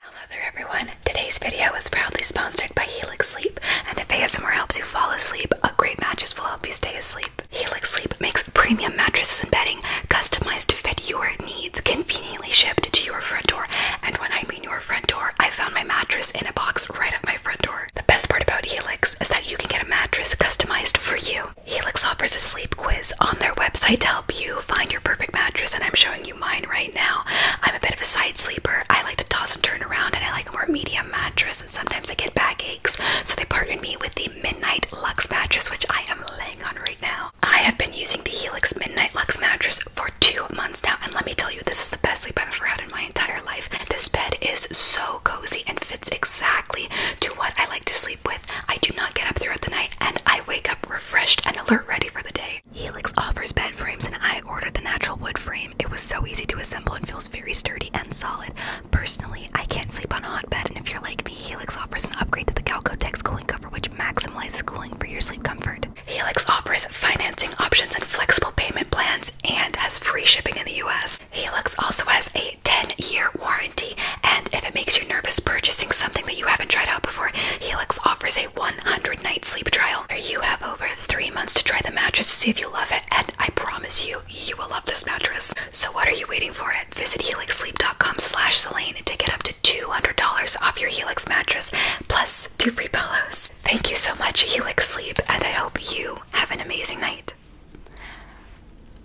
Hello there everyone! Today's video is proudly sponsored by Helix Sleep, and if ASMR helps you fall asleep, a great mattress will help you stay asleep. Helix Sleep makes premium mattresses and bedding customized to fit your needs, conveniently shipped to your front door, and when I mean your front door, I found my mattress in a box right at my front door. The best part about Helix is that you can get a mattress customized for you. Helix offers a sleep quiz on their website to help you find your perfect mattress, and I'm showing you mine right now. I'm a bit of a side sleeper. I like to toss and turn around and I like a more medium mattress and sometimes I get backaches. So they partnered me with the Midnight Lux mattress which I am laying on right now. I have been using the Helix Midnight Lux mattress for two months now and let me tell you this is the best sleep I've ever had in my entire life. This bed is so cozy and fits exactly to what I like to sleep with. I do not get up throughout the night and I wake up refreshed and alert ready for the day. Helix offers bed frames, and I ordered the natural wood frame. It was so easy to assemble and feels very sturdy and solid. Personally, I can't sleep on a hot bed, and if you're like me, Helix offers an upgrade to the Galco Tech cooling cover, which maximizes cooling for your sleep comfort. Helix offers financing options and flexible payment plans, and has free shipping in the U.S. Helix also has a 10-year warranty, and if it makes you nervous purchasing something that you haven't tried out before, Helix offers a 100 night sleep trial where you have over three months to try the mattress to see if you love it. And I promise you, you will love this mattress. So what are you waiting for? Visit helixsleep.com slash Selene to get up to $200 off your Helix mattress, plus two free pillows. Thank you so much, Helix Sleep, and I hope you have an amazing night.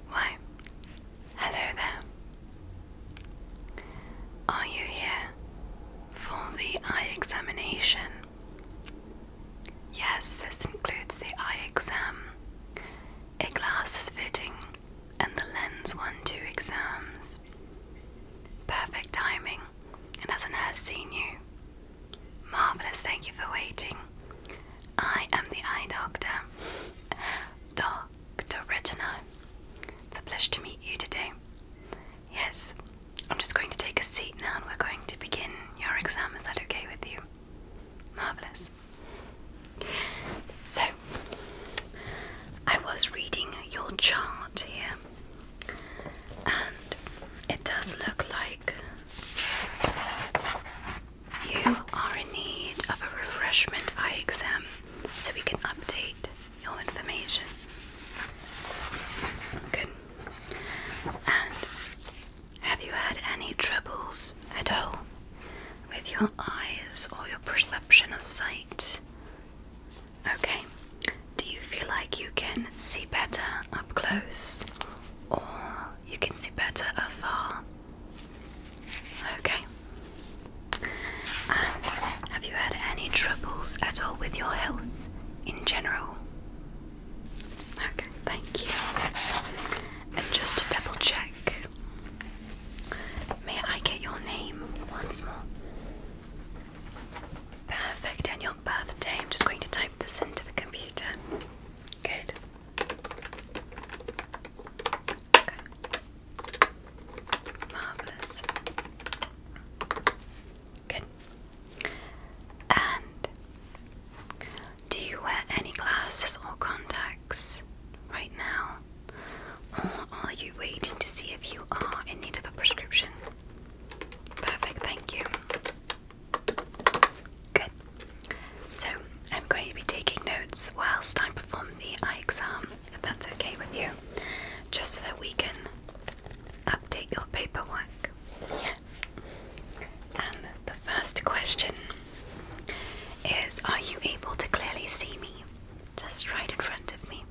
Why? Hello there. Are you here for the eye examination? Yes, this includes the eye exam, a glasses fitting, and the lens 1 2 exams. Perfect timing, and as a nurse seen you? Marvellous, thank you for waiting. I am the eye doctor. Dr. Dr. Retina. It's a pleasure to meet you today. Yes, I'm just going to take a seat now and we're going to begin your exam. Is that okay with you? Marvellous. So, I was reading your chart here, and it does look like you are in need of a refreshment eye exam so we can update your information. Good. And have you had any troubles at all with your eyes or your perception of sight? Okay. Do you feel like you can see better up close or you can see better afar? Okay. And have you had any troubles at all with your health in general? Okay, thank you. And just to double check, may I get your name once more? Perfect, and your birthday. I'm just going to type this into the computer. Good. Okay. Marvelous. Good. And do you wear any glasses or contacts right now? Or are you waiting to see if you are in need of a prescription? Perfect, thank you. Good. So, I'm going to be taking notes whilst I perform the eye exam if that's okay with you, just so that we can update your paperwork. Yes. And the first question is Are you able to clearly see me? Just right in front of me.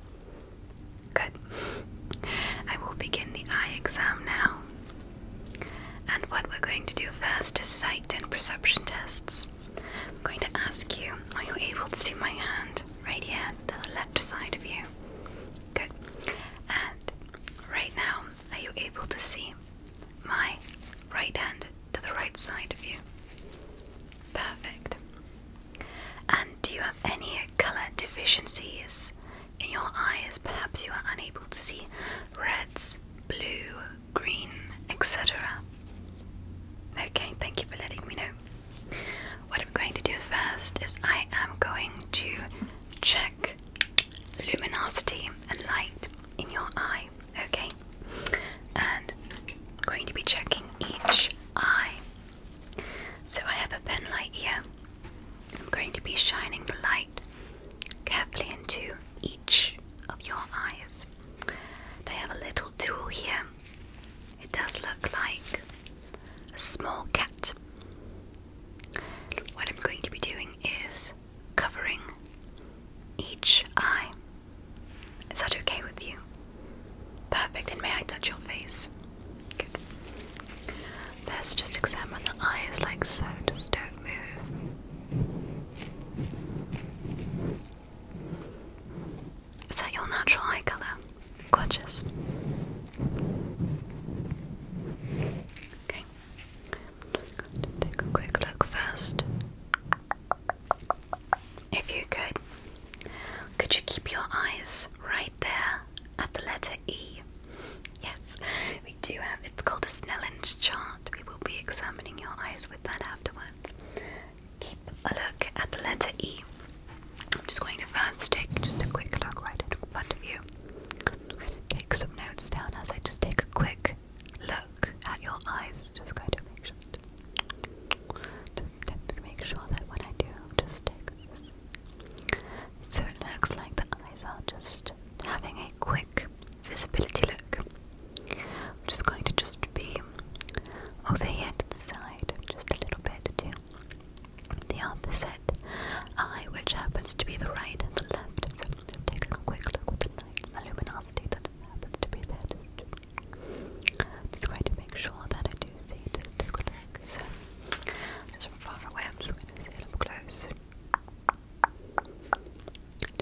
Good. I will begin the eye exam now. And what we're going to do first is sight and perception tests. I'm going to ask you, are you able to see my hand? right hand to the left side of you. Good. And right now, are you able to see my right hand to the right side of you? Perfect. And do you have any color deficiencies in your eyes? Perhaps you are unable to see reds, blue, green, etc. Okay, thank you for letting me know. What I'm going to do first is I am going to check luminosity and light in your eye, okay? And I'm going to be checking each eye. So I have a pen light here. I'm going to be shining the light carefully into each of your eyes. I have a little tool here it does look like a small cat. What I'm going to be doing is covering each eye. Is that okay with you? Perfect, and may I touch your face? Let's just examine the eyes like so, just don't move. Is that your natural eye colour? Gorgeous. Okay. take a quick look first. If you could, could you keep your eyes right there at the letter E? Yes, we do have. It's called a Snellen chart. We will be examining your eyes with that afterwards keep a look at the letter E. I'm just going to first take just a quick look right front of Take some notes down as I just take a quick look at your eyes. Just going to make sure, just, make sure that when I do, just take So it looks like the eyes are just having a quick visibility look. I'm just going to just be over here the side, just a little bit too. The opposite eye, which happens to be the right and the left. So i a quick look with the light, the luminosity that happens to be there. Just going to make sure that I do see. Just So, from far away, I'm just going to see it up close.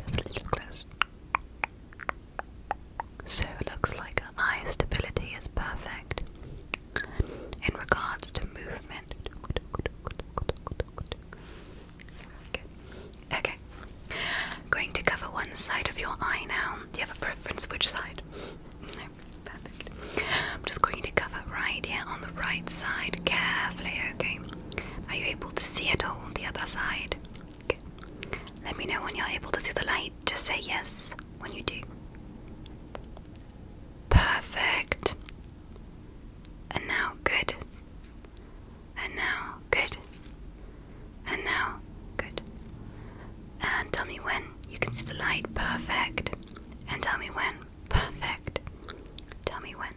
Just a little close. So looks like her eye stability is perfect. In regards to movement. okay. I'm going to cover one side of your eye now. Do you have a preference which side? No. Perfect. I'm just going to cover right here on the right side carefully, okay? Are you able to see at all the other side? Good. Let me know when you're able to see the light. Just say yes when you do. Perfect. And now good. And now good. And now good. And tell me when you can see the light. Perfect. And tell me when. Perfect. Tell me when.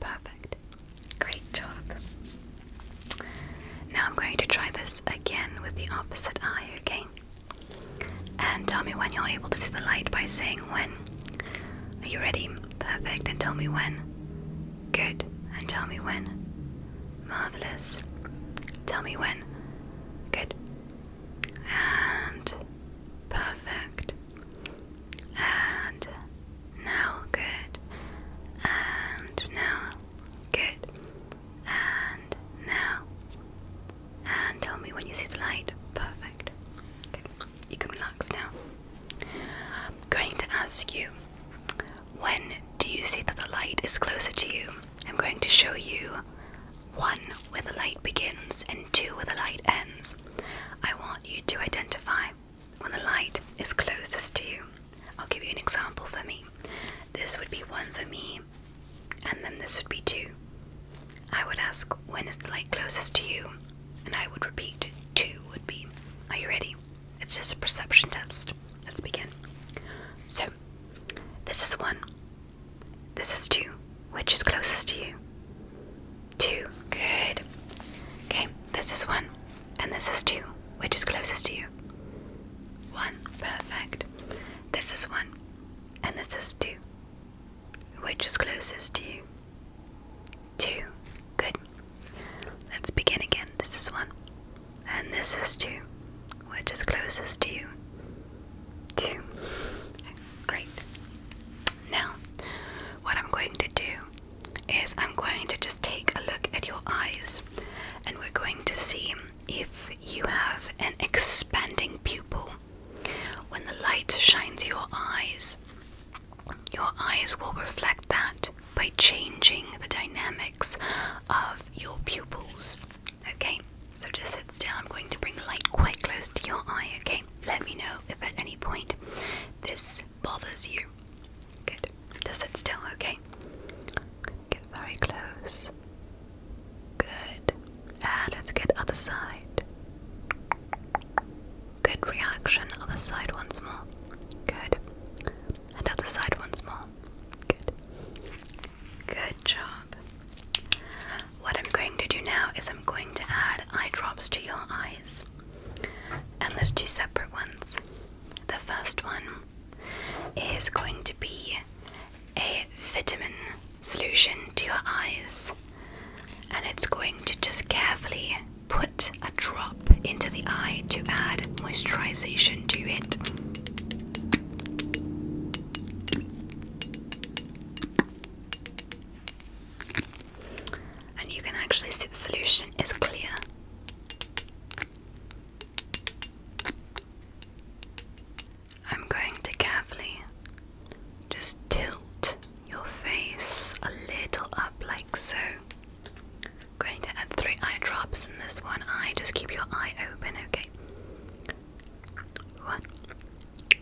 Perfect. Great job. Now I'm going to try this again with the opposite eye, okay? And tell me when you're able to see the light by saying when. Are you ready? Perfect. And tell me when. Good. And tell me when. Marvelous. Tell me when. Good. And perfect. And now good. And now good. And now. And tell me when you see the light. Perfect. You can relax now. I'm going to ask you when do you see that the light is closer to you? I'm going to show you one where the light begins and two where the light ends. I want you to identify when the light is closest to you. I'll give you an example for me. This would be one for me, and then this would be two. I would ask, when is the light closest to you? And I would repeat, two would be. Are you ready? It's just a perception test. Let's begin. So, this is one. This is two. Which is closest to you? Two. Good. Okay, this is one. And this is two. Which is closest to you? One. Perfect. This is one. And this is two. Which is closest to you? Two. Good. Let's begin again. This is one. And this is two. Which is closest to you? Two. Great. Now, what I'm going to do is I'm going to just take a look at your eyes and we're going to see if you have an expanding pupil, when the light shines your eyes, your eyes will reflect that by changing the dynamics of your pupils. Okay, so just sit still. I'm going to bring the light quite close to your eye. Okay, let me know if at any point this bothers you. Good, Does it still. Okay, Get very close. Good. And ah, let's get other side. Good reaction. Other side once more. Good. And other side once more. Good. Good job. What I'm going to do now is I'm going to add eye drops to your eyes. And there's two separate ones. The first one is going to be a vitamin solution to your eyes, and it's going to just carefully put a drop into the eye to add moisturisation to it. And you can actually see the solution is clear. I'm going to carefully just tilt your face a little up like so. Going to add three eye drops in this one eye. Just keep your eye open, okay? One, two,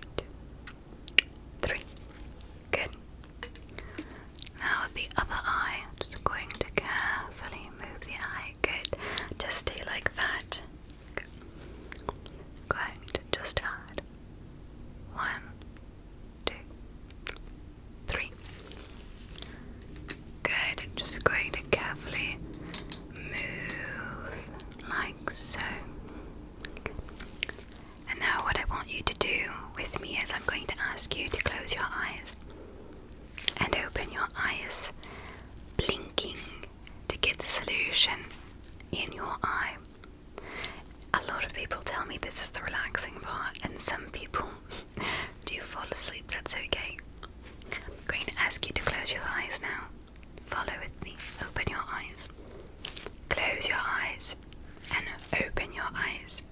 three. Good. Now the other eye. Just going to carefully move the eye good. Just stay like that. Good. Just add one, two, three. Good. Just going to carefully move like so. And now, what I want you to do with me is I'm going to ask you to close your eyes and open your eyes, blinking to get the solution in your eye. A lot of people tell me this is the relaxing part, and some people do fall asleep. That's okay. I'm going to ask you to close your eyes now. Follow with me. Open your eyes. Close your eyes and open your eyes.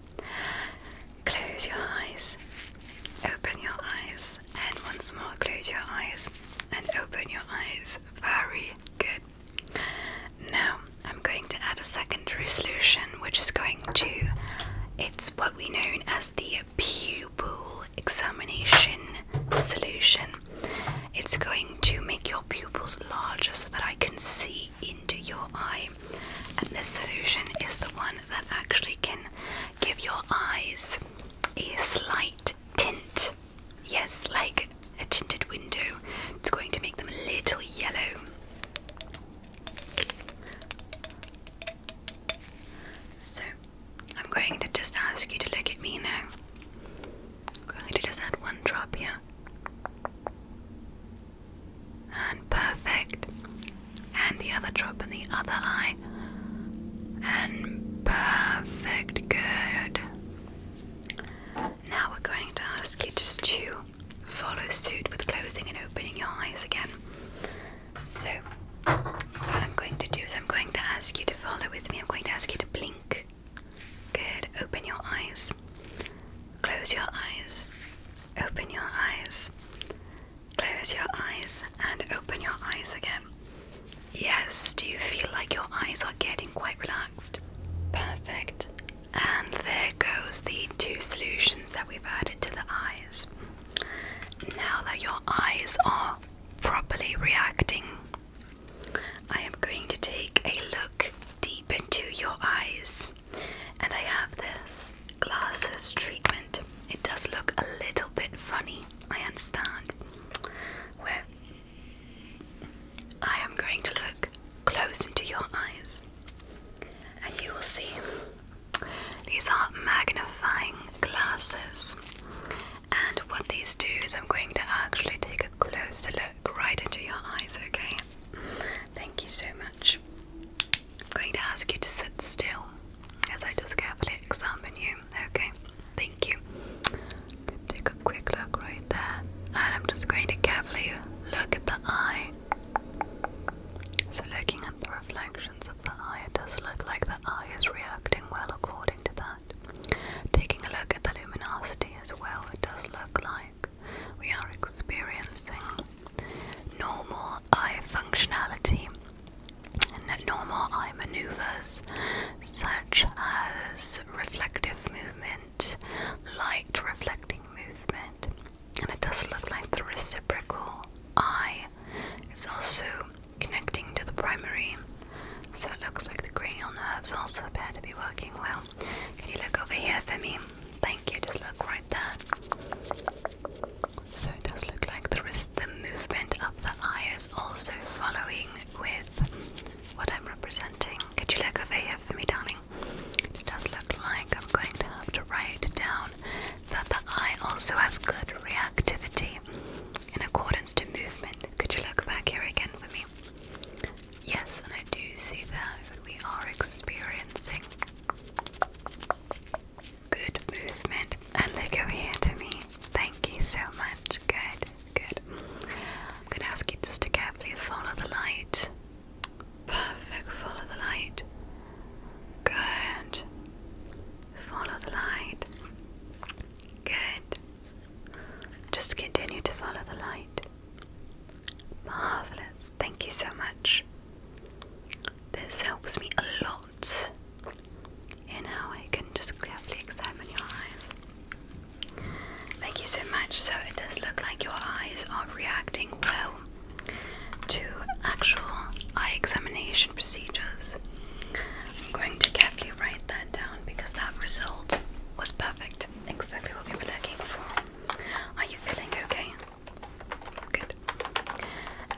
Close your eyes, open your eyes, and once more close your eyes and open your eyes. Very good. Now I'm going to add a secondary solution We're just going to it's what we know as the pupil examination solution. It's going to make your pupils larger so that I can see into your eye and this solution is the one that actually can give your eyes a slight tint. Yes, like a tinted window. It's going to make them a little yellow. So, I'm going to just ask you to look at me now. I'm going to just add one drop here. And perfect and the other drop in the other eye, and perfect. Good. Now we're going to ask you to follow suit with closing and opening your eyes again. So, what I'm going to do is, I'm going to ask you to follow with me, I'm going to ask you to blink. Good. Open your eyes. Close your eyes. Open your eyes. Close your eyes and open your eyes again. Yes, do you feel like your eyes are getting quite relaxed? Perfect. And there goes the two solutions that we've added to the eyes. Now that your eyes are properly reacting, I am going to take a look deep into your eyes. And I have this glasses treatment, it does look a little bit funny, I understand. Where I am going to look close into your eyes, and you will see these are magnifying glasses. And what these do is, I'm going to actually take a closer look right into your eyes, okay? Thank you so much. I'm going to ask you to sit still as I just carefully examine you. Okay, thank you. Take a quick look right there, and I'm just going to carefully look at the eye. So, looking at the reflections of the eye, it does look like the eye is reacting well according to that. Taking a look at the luminosity as well, it does look like we are experiencing normal eye functionality and normal eye maneuvers such as reflective movement, light reflecting movement, and it does look like the reciprocal eye is also connecting to the primary. So it looks like the cranial nerves also appear to be working well. Can you look over here for me? Thank you, just look right so it does look like the the movement of the eye is also following with what I'm representing. Could you look over here for me, darling? It does look like I'm going to have to write down that the eye also has good reactivity in accordance to movement. Could you look back here again for me? Yes, and I do see that we are experiencing Good movement. And look over here to me. Thank you so much. Good, good. I'm going to ask you just to carefully follow the light. Perfect. Follow the light. Good. Follow the light. Good. Just continue to follow the light. Marvelous. Thank you so much. This helps me a lot in how I can just carefully examine your eyes. Thank you so much. So it does look like your eyes are reacting well to actual eye examination procedures. I'm going to carefully write that down because that result was perfect. Exactly what we were looking for. Are you feeling okay?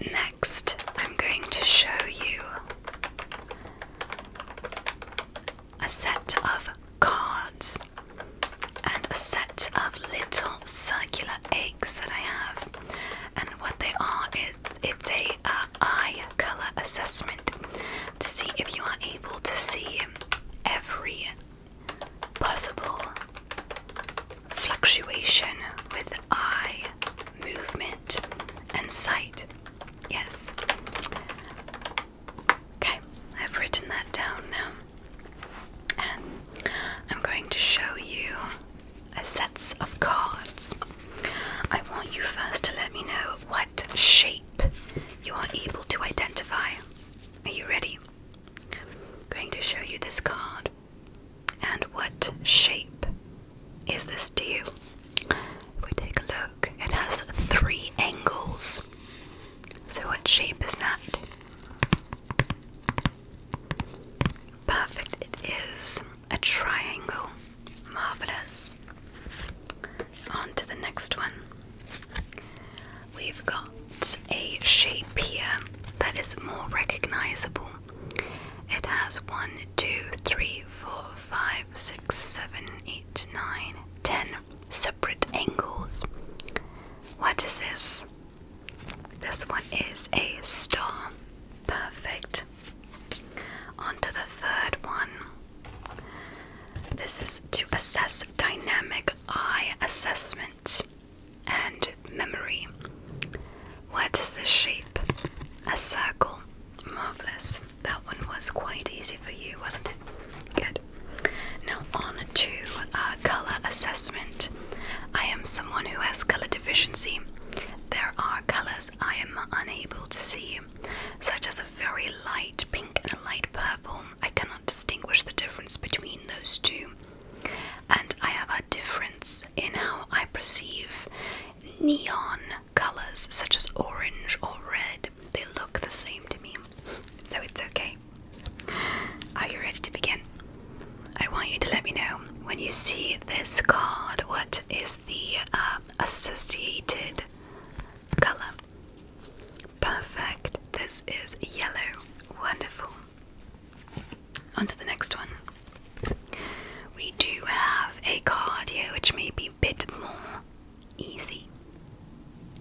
Next, I'm going to show you a set of cards and a set of little circular eggs that I have. And what they are is it's a eye color assessment to see if you are able to see every possible fluctuation with eye movement and sight. Yes. Okay, I've written that down now. And I'm going to show you a sets of cards. I want you first to let me know what shape you are able to identify. Are you ready? I'm going to show you this card. And what shape is this to you? If we take a look, it has three angles. So, what shape is that? Perfect, it is a triangle. Marvelous. On to the next one. We've got a shape here that is more recognizable. It has one, two, three, four, five, six, seven, eight, nine, ten separate angles. What is this? This one is a star. Perfect. On to the third one. This is to assess dynamic eye assessment and memory. What is the shape? A circle. Marvelous. That one was quite easy for you, wasn't it? Good. Now, on to color assessment. I am someone who has color deficiency. There are colors I am unable to see, such as a very light pink and a light purple. I cannot distinguish the difference between those two and I have a difference in how I perceive neon colors such as orange or red. They look the same to me, so it's okay. Are you ready to begin? I want you to let me know when you see this card what is the um, associated color. Perfect. This is yellow. Wonderful on to the next one. We do have a card here which may be a bit more easy.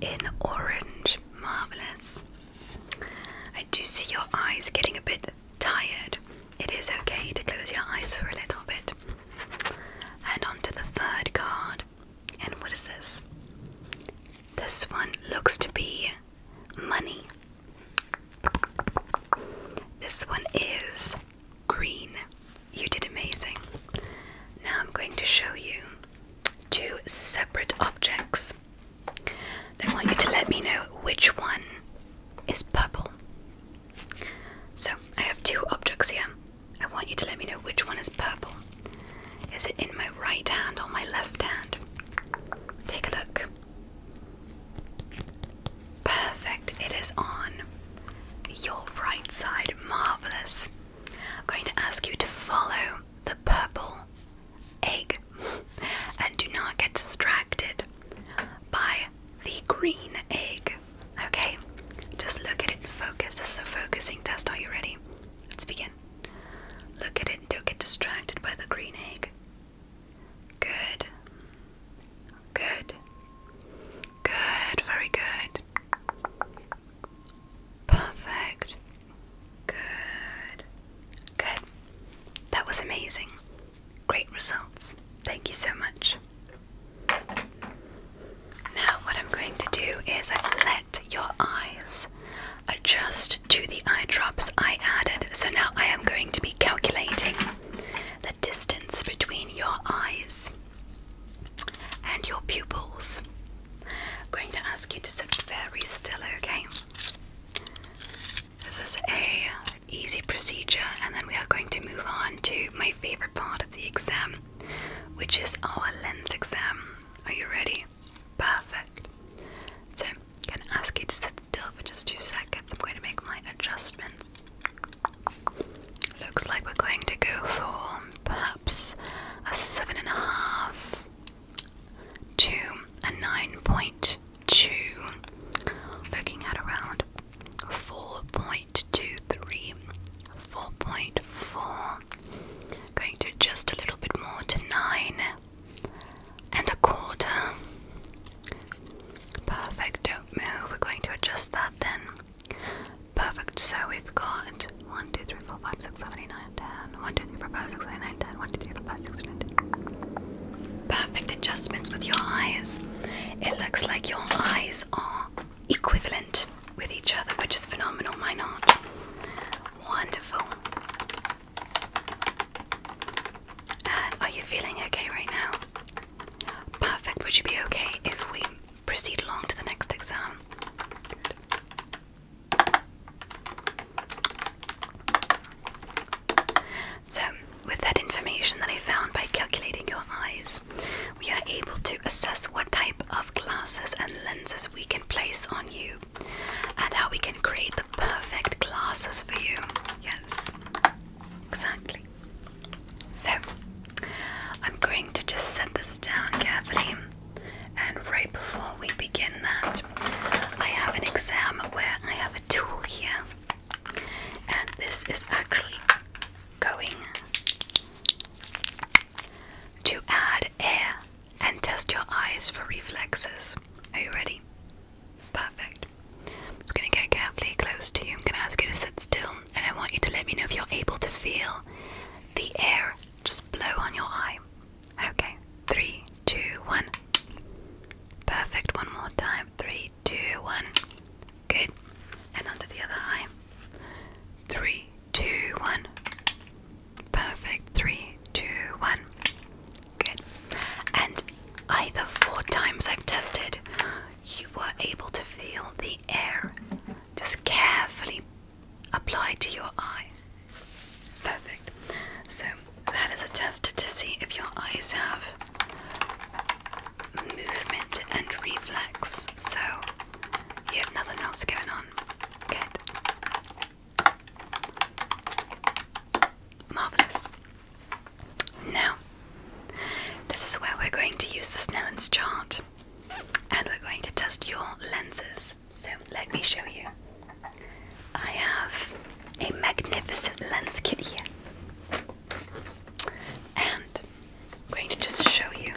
In orange. Marvellous. I do see your eyes getting a bit tired. It is okay to close your eyes for a little bit. And on to the third card. And what is this? This one looks to be money. This one is green. You did amazing. Now I'm going to show you two separate objects. I want you to let me know which one is purple. So I have two objects here. I want you to let me know which one is purple. Is it in my right hand or my left hand? Take a look. Perfect, it is on your right side. Marvelous. I'm going to ask you to follow the purple egg and do not get distracted by the green egg. Okay, just look at it and focus. This is a focusing test. Are you ready? Let's begin. Look at it and don't get distracted by the green egg. Good. Good. Good. Very good. Perfect. Good. Good. That was amazing. Great results. Thank you so much. Now, what I'm going to do is let your eyes adjust to the eye drops I added. So now I am going to be calculating the distance between your eyes and your pupils. I'm going to ask you to sit very still, okay? This is a easy procedure and then we are going to move on to my favorite part of the exam, which is our lens exam. Are you ready? Perfect. So, I'm going to ask you to sit still for just two seconds. I'm going to make my adjustments. Looks like we're going to go for perhaps a seven and a half to a nine point two. Looking at around four point two three, four point four. Going to adjust a little bit more to nine and a quarter. Perfect, don't move. We're going to adjust that then. Perfect, so we've got 1, 2, 3, Perfect adjustments with your eyes. It looks like your eyes are equivalent with each other, which is phenomenal. Why not? Wonderful are you feeling okay right now? Perfect. Would you be okay if we proceed along to the next exam? So, with that information that I found by calculating your eyes, we are able to assess what type of glasses and lenses we can place on you and how we can create perfect glasses for you. Yes, exactly. So, I'm going to just set this down Kathleen. and right before we begin that, I have an exam where I have a tool here, and this is actually going to add air and test your eyes for reflexes. Are you ready? Perfect. I'm just going to go carefully close to you. I'm going to ask you to sit still, and I want you to let me know if you're able to feel the air just blow on your eye. Okay, three, two, one. Perfect. One more time. Three, two, one. Good. And onto the other eye. Three, two, one. Perfect. Three, two, one. Good. And either four times I've tested, you were able to feel the air just carefully applied to your eye. Perfect. So that is a test to see if your eyes have movement and reflex. So you have nothing else going on. Good. Marvellous. Now, this is where we're going to use the Snellen's chart and we're going to test your lenses. So, let me show you. I have a magnificent lens kit here, and I'm going to just show you.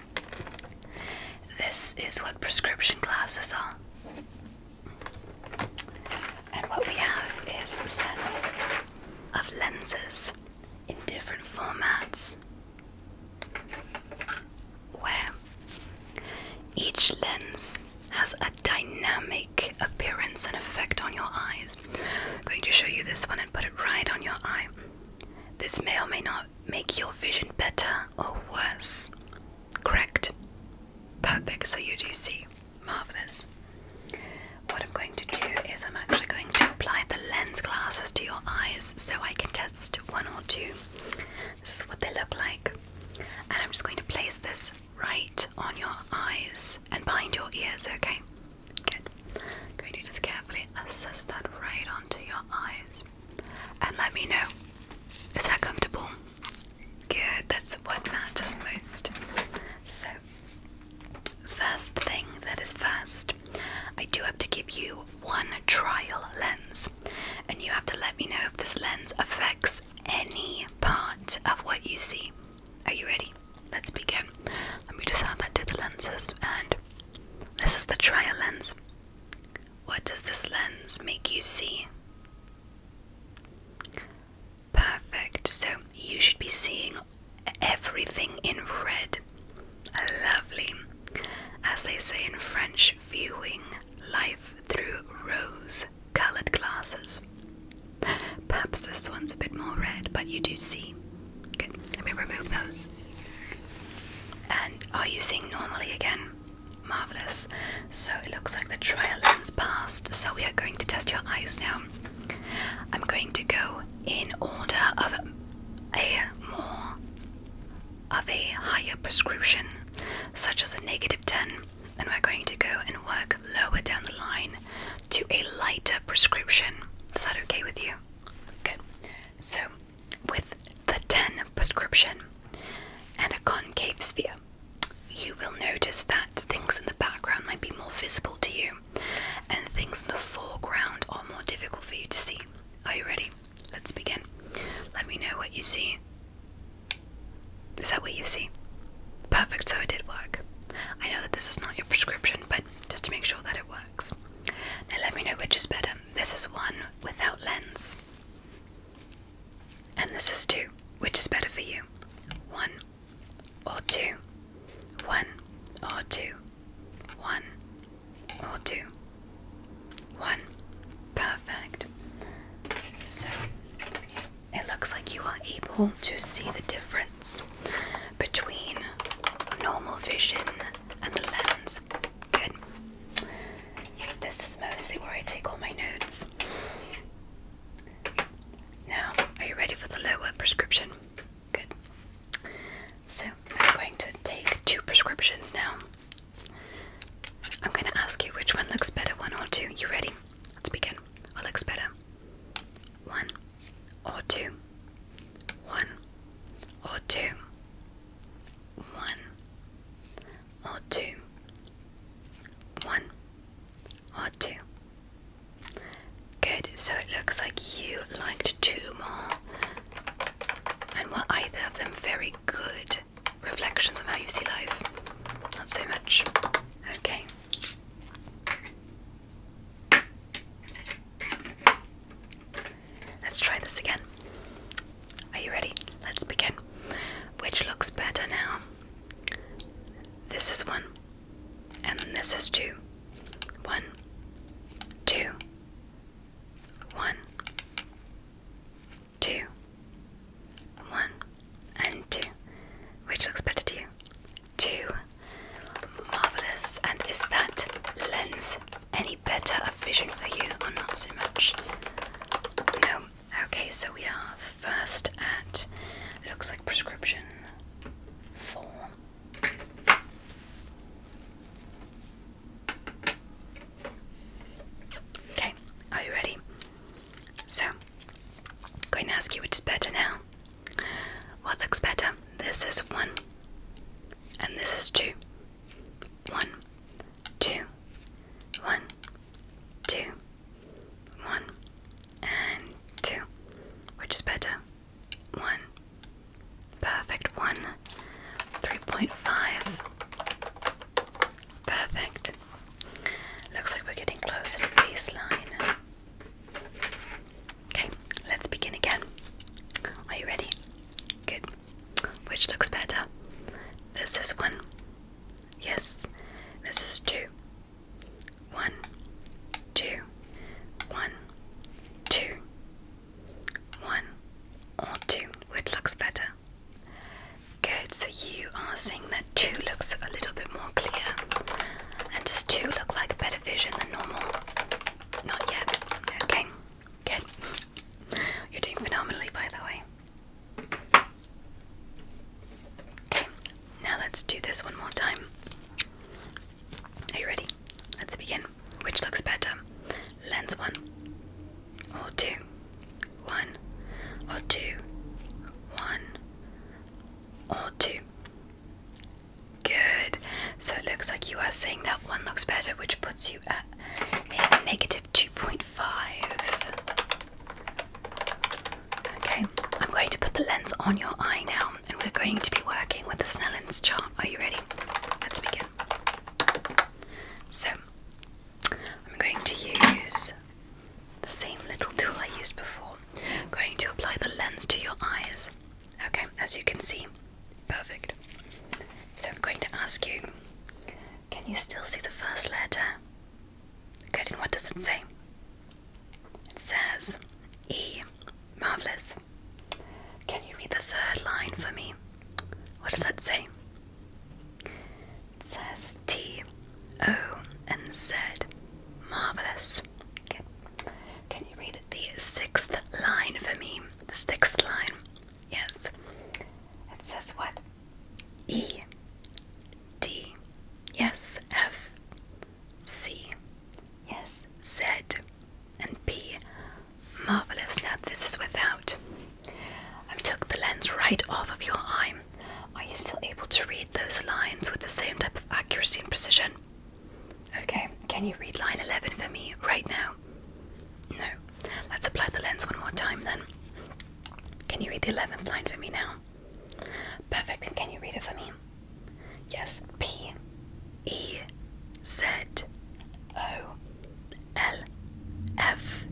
This is what prescription glasses are. And what we have is a sets of lenses in different formats where each lens has a dynamic appearance and effect on your eyes. I'm going to show you this one and put it right on your eye. This may or may not make your vision better or worse. Correct. Perfect. So you do see. Marvelous. What I'm going to do is I'm actually going to apply the lens glasses to your eyes so I can test one or two. This is what they look like. And I'm just going to place this right on your eyes and behind your ears, okay? Good. I'm going to just carefully assess that right onto your eyes. And let me know. Is that comfortable? Good, that's what matters most. So, first thing that is first, I do have to give you one trial lens, and you have to let me know if this lens affects any part of what you see. Are you ready? Let's begin. Let me just add that to the lenses, and this is the trial lens. What does this lens make you see? Perfect. So you should be seeing everything in red. Lovely. As they say in French, viewing life through rose colored glasses. Perhaps this one's a bit more red, but you do see. Good. Let me remove those. And are you seeing normally again? Marvelous. So it looks like the trial lens passed. So we are going to test your eyes now. I'm going to go in order of a more of a higher prescription, such as a negative 10, and we're going to go and work lower down the line to a lighter prescription. Is that okay with you? Good. So, with the 10 prescription and a concave sphere, you will notice that things in the background might be more visible to you and things in the foreground are more difficult for you to see. Are you ready? Let's begin. Let me know what you see. Is that what you see? Perfect, so it did work. I know that this is not your prescription, but just to make sure that it works. Now let me know which is better. This is one without lens. And this is 2. Which is better for you? 1 or 2? 1 or 2? 1 or 2? 1. Perfect. So it looks like you are able to see the difference between normal vision and the lens. Good. This is mostly where I take all my notes. Now, are you ready for the lower prescription? Good. So, I'm going to take two prescriptions now. I'm going to ask you which one looks better, one or two. You ready? Let's begin. What looks better? One or two? One or two? One or two, one or two. Good, so it looks like you liked two more and were either of them very good reflections of how you see life. Not so much. Okay. Let's try this again. Are you ready? Let's begin. Which looks better now? This is one, and this is two. One, two, one, two, one, and two. Which looks better to you? Two. Marvelous. And is that lens any better a vision for you, or not so much? No, Okay, so we are first at looks like prescription four. Okay, are you ready? So, I'm going to ask you which is better now. What looks better? This is one, and this is two. One, two, one, two, one, and two. Which is better? One. Perfect. One. 3.5. Perfect. Looks like we're getting closer to baseline. Okay, let's begin again. Are you ready? Good. Which looks better? This is one. Yes, this is two. One, two, one, two, one, or two. Which looks better? Good, so you are seeing that two looks a little bit more clear. And does two look like better vision than normal? Not yet. Okay, good. You're doing phenomenally, by the way now let's do this one more time. Are you ready? Let's begin. Which looks better? Lens one or two? One or two? One or two? Good. So it looks like you are saying that one looks better, which puts you at 2.5. Okay, I'm going to put the lens on your eye now, and we're going to be working with the Snellen's chart. Are you ready? Let's begin. So, I'm going to use the same little tool I used before. I'm going to apply the lens to your eyes. Okay, as you can see, perfect. So, I'm going to ask you can you still see the first letter? Good, and what does it say? It says E. Marvellous. Can you read the third line for me? What does that say? It says T, O, and said. Marvellous. Can you read the sixth line for me? The sixth line. Yes. It says what? E D yes F C yes Z and P marvelous now this is without I took the lens right off of your eye are you still able to read those lines with the same type of accuracy and precision okay can you read line 11 for me right now no let's apply the lens one more time then can you read the 11th line for me now? Perfect. And can you read it for me? Yes. P E Z O L F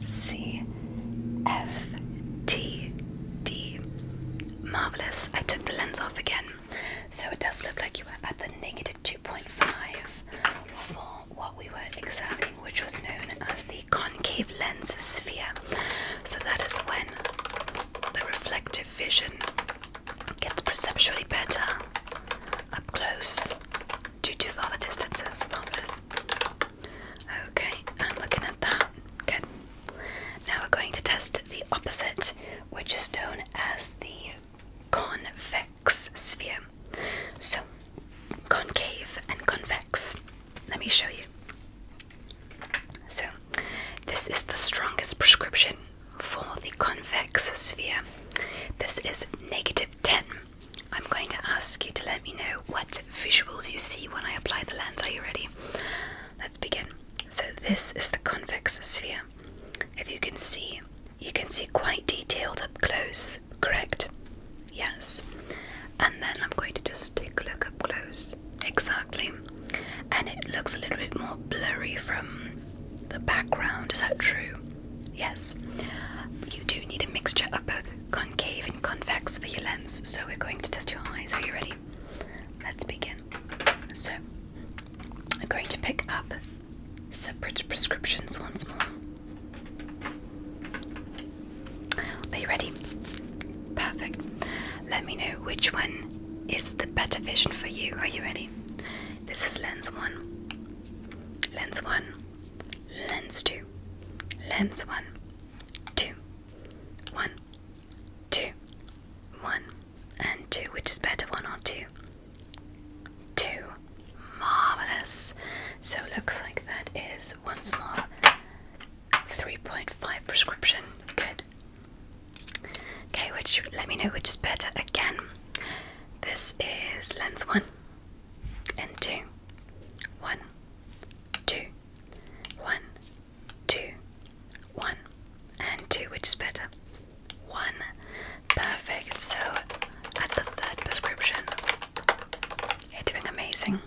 C F T D. Marvelous. I took the lens off again. So it does look like you were at the negative negative two point five four what we were examining, which was known as the concave lens sphere. So that is when the reflective vision gets perceptually better up close due to farther distances. Marvelous. Okay, I'm looking at that. Good. Now we're going to test the opposite, which is known as the convex sphere. So, concave and convex. Let me show you. So, this is the strongest prescription for the convex sphere. This is negative 10. I'm going to ask you to let me know what visuals you see when I apply the lens. Are you ready? Let's begin. So, this is the convex sphere. If you can see, you can see quite detailed up close correct. Yes. And then I'm going to just take a look up close. Exactly. And it looks a little bit more blurry from the background. Is that true? Yes. You do need a mixture of both concave and convex for your lens. So we're going to test your eyes. Are you ready? Let's begin. So I'm going to pick up separate prescriptions once more. Are you ready? Perfect. Let me know which one is the better vision for you. Are you ready? This is lens one, lens one, lens two, lens one, two, one, two, one, and two. Which is better, one or two? Two. Marvelous. So looks like that is once more 3.5 prescription. Good. Okay, which let me know which is better again. This is lens one and two. One, two, one, two, one, and two, which is better. One. Perfect. So at the third prescription, you're doing amazing.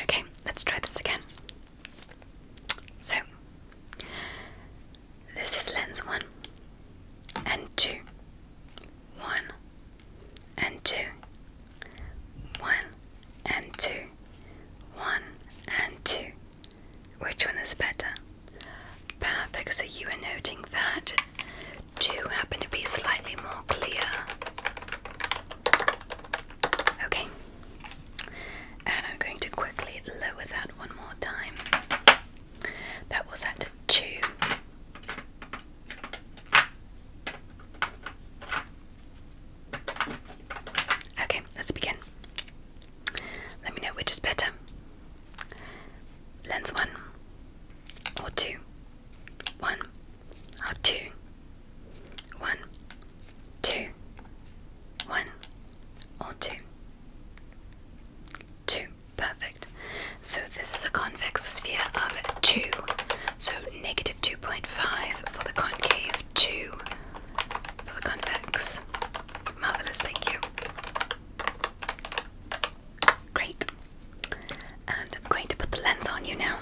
Okay, let's try this again. So, this is lens one and two, one and two, one and two, one and two. Which one is better? Perfect, so you were noting that two happen to be slightly more clear. Okay, and I'm going to quickly lower that one more time. That was at two. Okay, let's begin. Let me know which is better lens one or two, one or two, one, two, one or two, two. Perfect. So this is a convex sphere of two. So negative 2.5 for the concave, 2 for the convex. Marvellous, thank you. Great. And I'm going to put the lens on you now.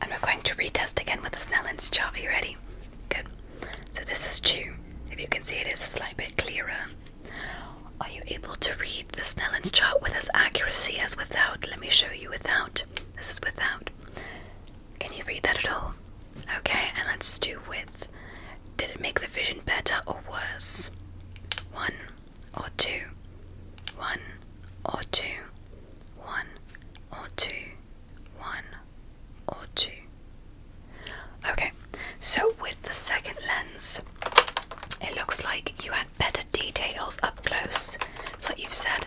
And we're going to retest again with the Snellen's chart. Are you ready? Good. So this is two. If you can see, it is a slight bit clearer. Are you able to read the Snellen's chart with as accuracy as without? Let me show you without. This is without. Can you read that at all? Okay, and let's do with. Did it make the vision better or worse? One or two. One or two. One or two. One or two. Okay, so with the second lens, it looks like you had better details up close. That's what you've said.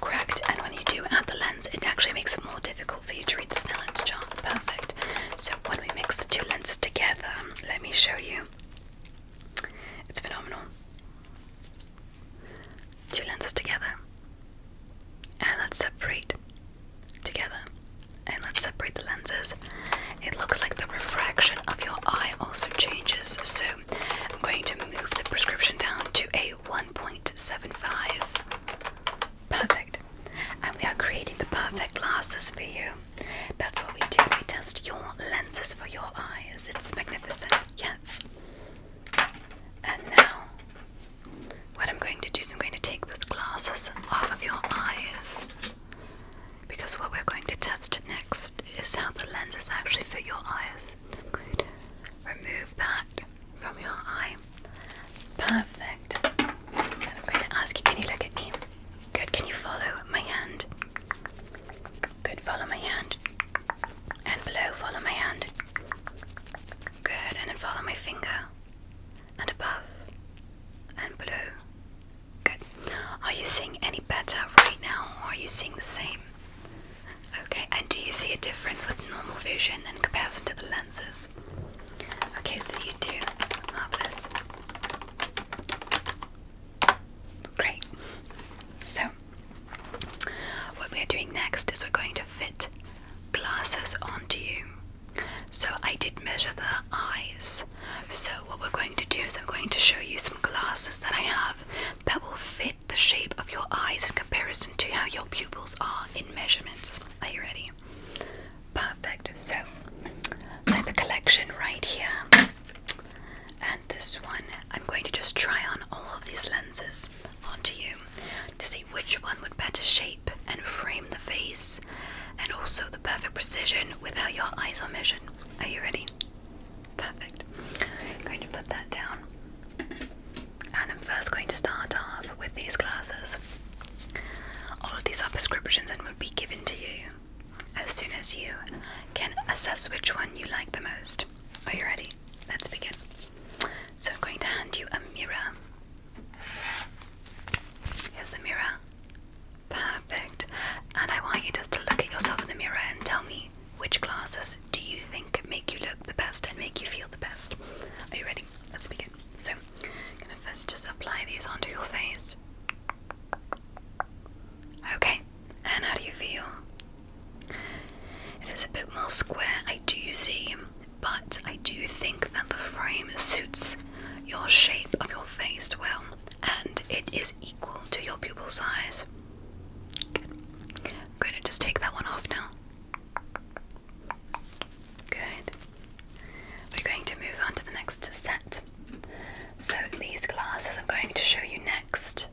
Correct, and when you do add the lens, it actually makes it more difficult for you to read the Snell lens chart. Perfect. So when we mix the two lenses together, let me show you. It's phenomenal. Two lenses together. And let's separate together. And let's separate the lenses. It looks like the refraction of your eye also changes. So I'm going to move the prescription down to a 1.75. Perfect. And we are creating the perfect glasses for you. That's what we do. We test your lenses for your eyes. It's magnificent. Yes. And now, what I'm going to do is I'm going to take those glasses off of your eyes. Because what we're going to test next is how the lenses actually fit your eyes. remove from your eye. Perfect. And I'm going to ask you, can you look at me? Good, can you follow my hand? Good, follow my hand. And below, follow my hand. Good, and then follow my finger. And above. And below. Good. Are you seeing any better right now, or are you seeing the same? Okay, and do you see a difference with normal vision in comparison to the lenses? Okay, so you do marvelous. Great. So, what we're doing next is we're going to fit glasses onto you. So, I did measure the eyes. So, what we're going to do is I'm going to show you some glasses that I have that will fit the shape of your eyes in comparison to how your pupils are in measurements. Are you ready? Perfect. So I have a collection right here. And this one, I'm going to just try on all of these lenses onto you to see which one would better shape and frame the face and also the perfect precision without your eyes are measured. Are you ready? Perfect. going to put that down and I'm first going to start off with these glasses. All of these are prescriptions and will be given to you as soon as you can assess which one you like the most. Are you ready? Let's begin. So, I'm going to hand you a mirror. Here's the mirror. Perfect. And I want you just to look at yourself in the mirror and tell me which glasses do you think make you look the best and make you feel the best. Are you ready? Let's begin. So, I'm gonna first just apply these onto your face. Okay, and how do you feel? It is a bit more square, I do see, but I do think that the frame suits your shape of your face well, and it is equal to your pupil size. I'm going to just take that one off now. Good. We're going to move on to the next set. So, these glasses I'm going to show you next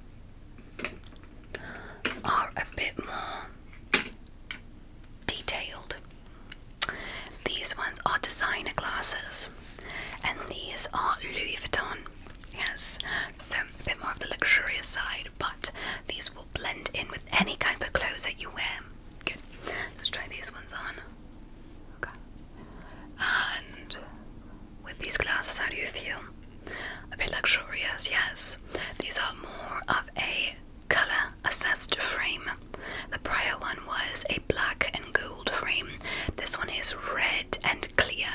are a bit more detailed. These ones are designer glasses, and these are Louis Vuitton. Yes, so a bit more of the luxurious side, but these will blend in with any kind of clothes that you wear. Good. Let's try these ones on. Okay. And with these glasses, how do you feel? A bit luxurious, yes. These are more of a color assessed frame. The prior one was a black and gold frame. This one is red and clear.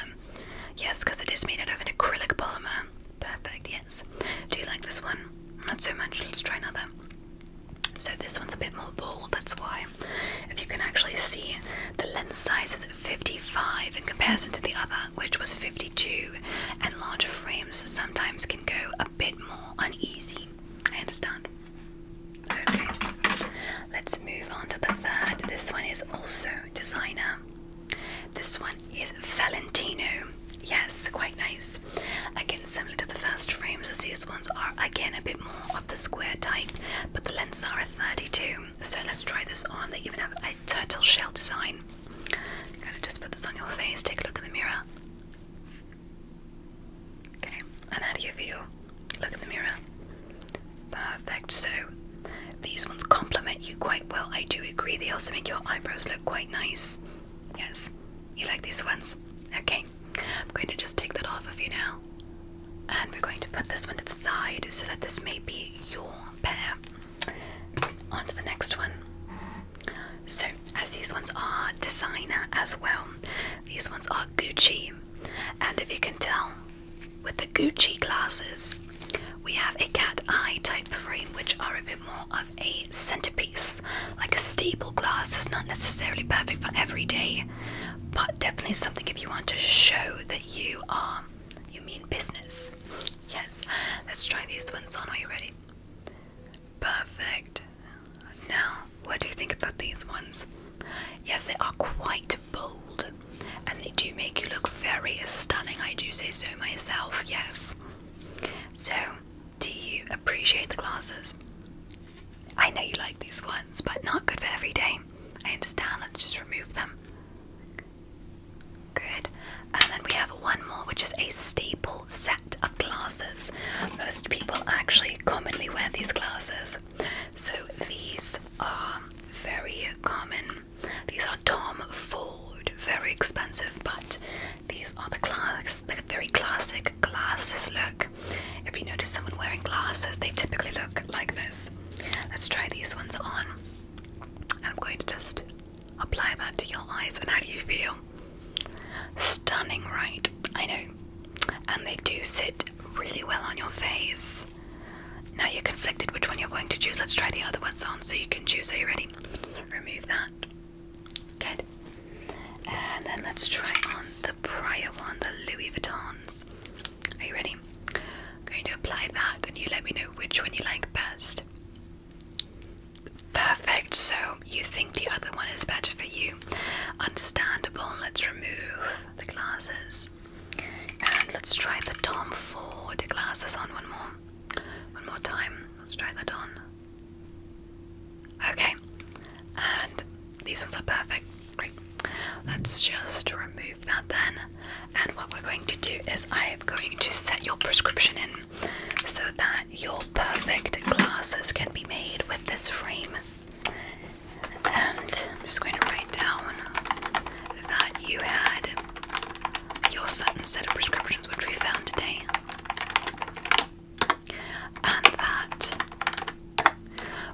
Yes, because it is made out of an acrylic polymer. Perfect, yes. Do you like this one? Not so much, let's try another. So, this one's a bit more bold, that's why. If you can actually see, the lens size is 55 in comparison to the other, which was 52, and larger frames sometimes can go a bit more uneasy. I understand. Okay, let's move on to the third. This one is also designer. This one is Valentino. Yes, quite nice. Again, similar to the first frames, as these ones are again a bit more of the square type, but the lengths are a 32. So let's try this on. They even have a turtle shell design. I'm gonna just put this on your face, take a look in the mirror. Okay, and how do you feel? Look in the mirror. Perfect. So these ones complement you quite well. I do agree. They also make your eyebrows look quite nice. Yes. You like these ones? Okay. I'm going to just take that off of you now. And we're going to put this one to the side so that this may be your pair. On to the next one. So, as these ones are designer as well, these ones are Gucci. And if you can tell, with the Gucci glasses, we have a cat eye type frame, which are a bit more a centerpiece. Like a stable glass is not necessarily perfect for every day, but definitely something if you want to show that you are you mean business. Yes. Let's try these ones on. Are you ready? Perfect. Now, what do you think about these ones? Yes, they are quite bold and they do make you look very stunning. I do say so myself, yes. So, do you appreciate the glasses? I know you like these ones, but not good for every day. I understand, let's just remove them. Good. And then we have one more, which is a staple set of glasses. Most people actually commonly wear these glasses. So these are very common. These are Tom Ford, very expensive, but these are the class, the very classic glasses look. If you notice someone wearing glasses, they typically look like this. Let's try these ones on. And I'm going to just apply that to your eyes. And how do you feel? Stunning, right? I know. And they do sit really well on your face. Now you're conflicted which one you're going to choose. Let's try the other ones on so you can choose. Are you ready? Remove that. Good. And then let's try on the prior one, the Louis Vuittons. Are you ready? I'm going to apply that and you let me know which one you like best. Perfect. So you think the other one is better for you. Understandable. Let's remove the glasses. And let's try the Tom Ford glasses on one more. One more time. Let's try that on. Okay, and these ones are perfect. Great. Let's just remove that then. And what we're going to do is I am going to set your prescription in so that your perfect glasses can be made with this frame. And I'm just going to write down that you had your certain set of prescriptions which we found today and that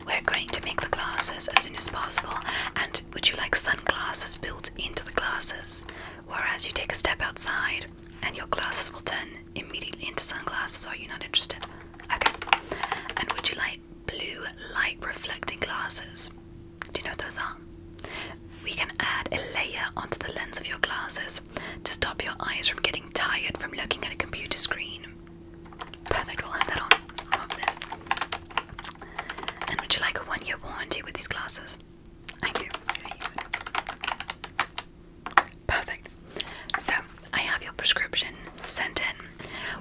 we're going to make the glasses as soon as possible. And would you like sunglasses built into the glasses? Whereas you take a step outside and your glasses will turn immediately into sunglasses. Are you not interested? Okay. And would you like blue light reflecting glasses? Do you know what those are? We can add a layer onto the lens of your glasses to stop your eyes from getting tired from looking at a computer screen. Perfect, we'll add that on. And would you like a one year warranty with these glasses? I do. Perfect. So, I have your prescription sent in.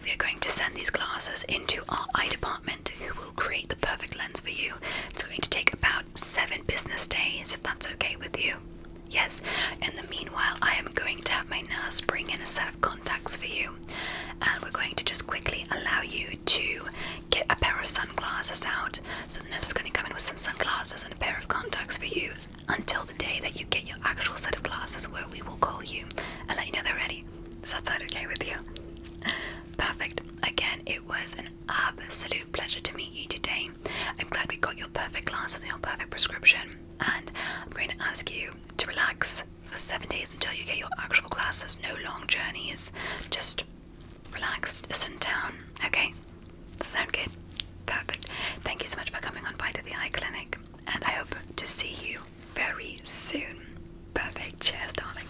We are going to send these glasses into our eye department, who will create the perfect lens for you. It's going to take about seven business days, if that's okay with you. Yes, in the meanwhile, I am going to have my nurse bring in a set of contacts for you, and we're going to just quickly allow you to get a pair of sunglasses out. So, the nurse is going to come in with some sunglasses and a pair of contacts for you until the day that you get your actual set of glasses, where we will call you and let you know they're ready. Does that sound okay with you? Perfect. Again, it was an absolute pleasure to meet you today. I'm glad we got your perfect glasses and your perfect prescription, and I'm going to ask you to relax for seven days until you get your actual glasses. No long journeys, just relaxed, just in town. Okay, does that sound good? Perfect. Thank you so much for coming on by to the eye clinic, and I hope to see you very soon. Perfect. Cheers, darling.